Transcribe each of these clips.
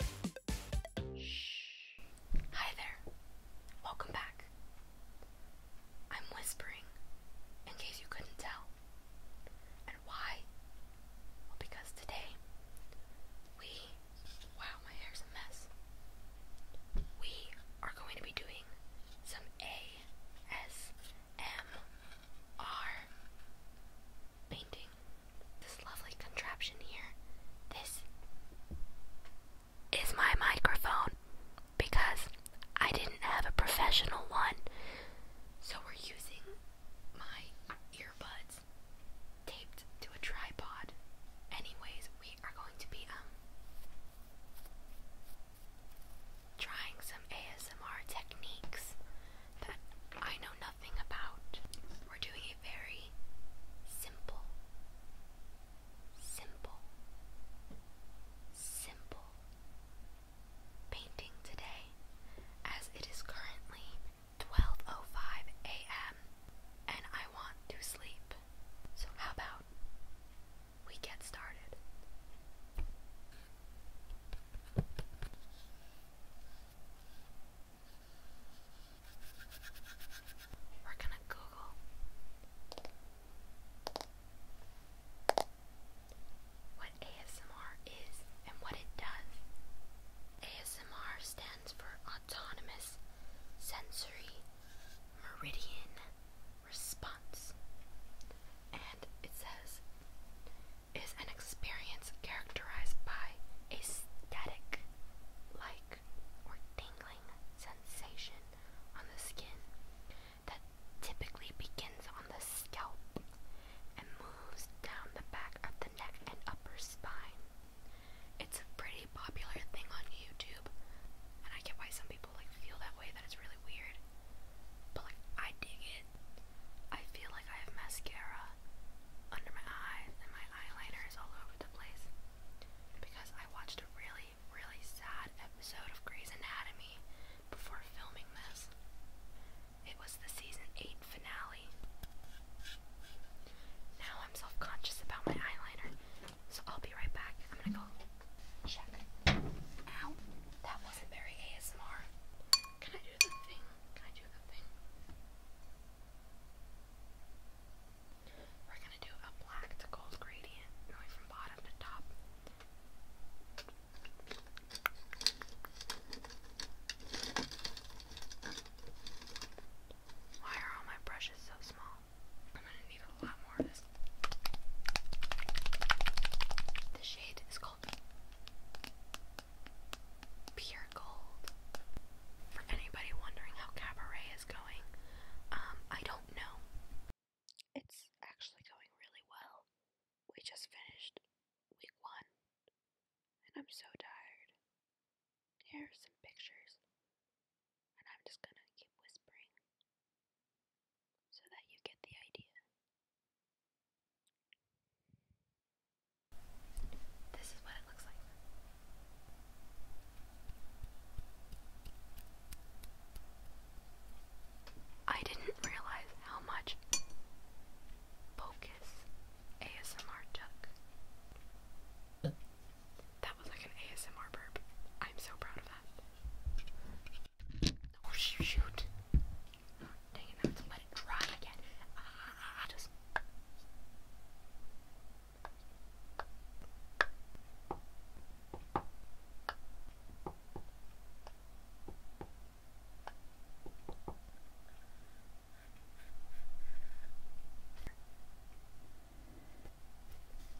Shh. Hi there. Welcome back. I'm whispering in case you couldn't tell. And why? because today we. Wow, my hair's a mess. We are going to be doing some ASMR painting this lovely contraption here. This is my microphone because I didn't have a professional one. So we're using my earbuds taped to a tripod. Anyways, we are going to be um trying some ASMR techniques that I know nothing about. We're doing a very simple, simple, simple painting today as it is currently 12.05 a.m. and I want to sleep. So how about we get started? We're gonna Google what ASMR is and what it does. ASMR stands for Autonomous Sensory Meridian response. And it says, is an experience characterized by a static, like, or tingling sensation on the skin that typically begins on the scalp and moves down the back of the neck and upper spine. It's a pretty popular thing on YouTube, and I get why some people like feel that way that it's really weird. But like I dig it. I feel like I have mascara under my eyes and my eyeliner is all over the place. Because I watched a really, really sad episode of Grey's Anatomy before filming this. It was the season 8 finale. Now I'm self conscious about my eyeliner so I'll be right back. I'm gonna go check. Ow. That wasn't very ASMR. Can I do the thing? Can I do the thing? We're gonna do a black to gold gradient going from bottom to top. Why are all my brushes so small? I'm gonna need a lot more of this. The shade is called Pure Gold. For anybody wondering how Cabaret is going, um, I don't know. It's actually going really well. We just finished week one, and I'm so tired. Here are some pictures, and I'm just gonna keep whispering so that you get the idea. This is what it looks like. I didn't realize how much focus ASMR duck. That was like an ASMR burp. I'm so proud of that. Oh, shoot! dang it! Now I have to let it dry again. Ah, just.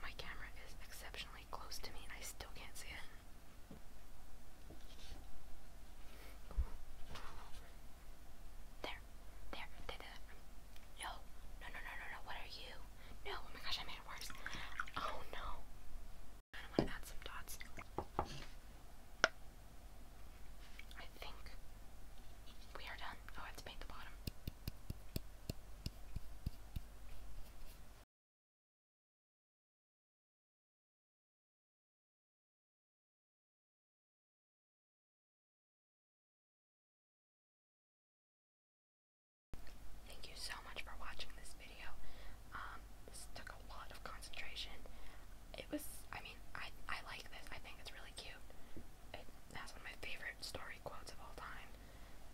My camera is exceptionally close to me and I still can't see it. There, there, there, there. No, no, no, no, no, What are you? No, oh my gosh, I made it worse. Oh no. I want to add some dots. think we are done. Oh, I have to paint the bottom. Thank you so much for watching this video. Um, this took a lot of concentration. It was, I mean, I, I like this. I think it's really cute. It has one of my favorite story quotes of all time.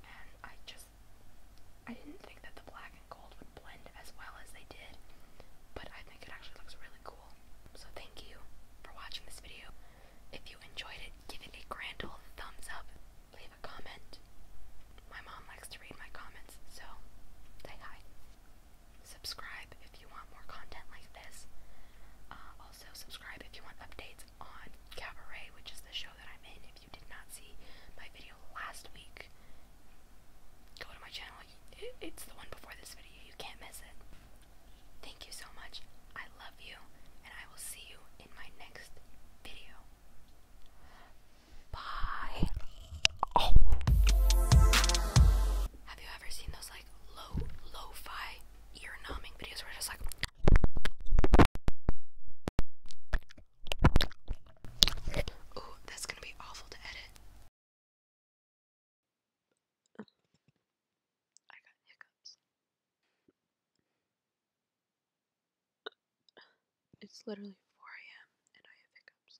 And I just, I didn't think that the black and gold would blend as well as they did. But I think it actually looks really cool. So thank you for watching this video. If you enjoyed it, give it a grand old thumbs up leave a comment. My mom likes to read my comments, so say hi. Subscribe if you want more content like this. Uh, also, subscribe if you want updates on Cabaret, which is the show that I'm in. If you did not see my video last week, go to my channel. It's the one before this video. You can't miss it. Thank you so much. I love you, and I will see you in my next video. Bye. Oh. Have you ever seen those like low, lo-fi ear numbing videos where it's just like Ooh, that's gonna be awful to edit. I got hiccups. It's literally 4 a.m. and I have hiccups.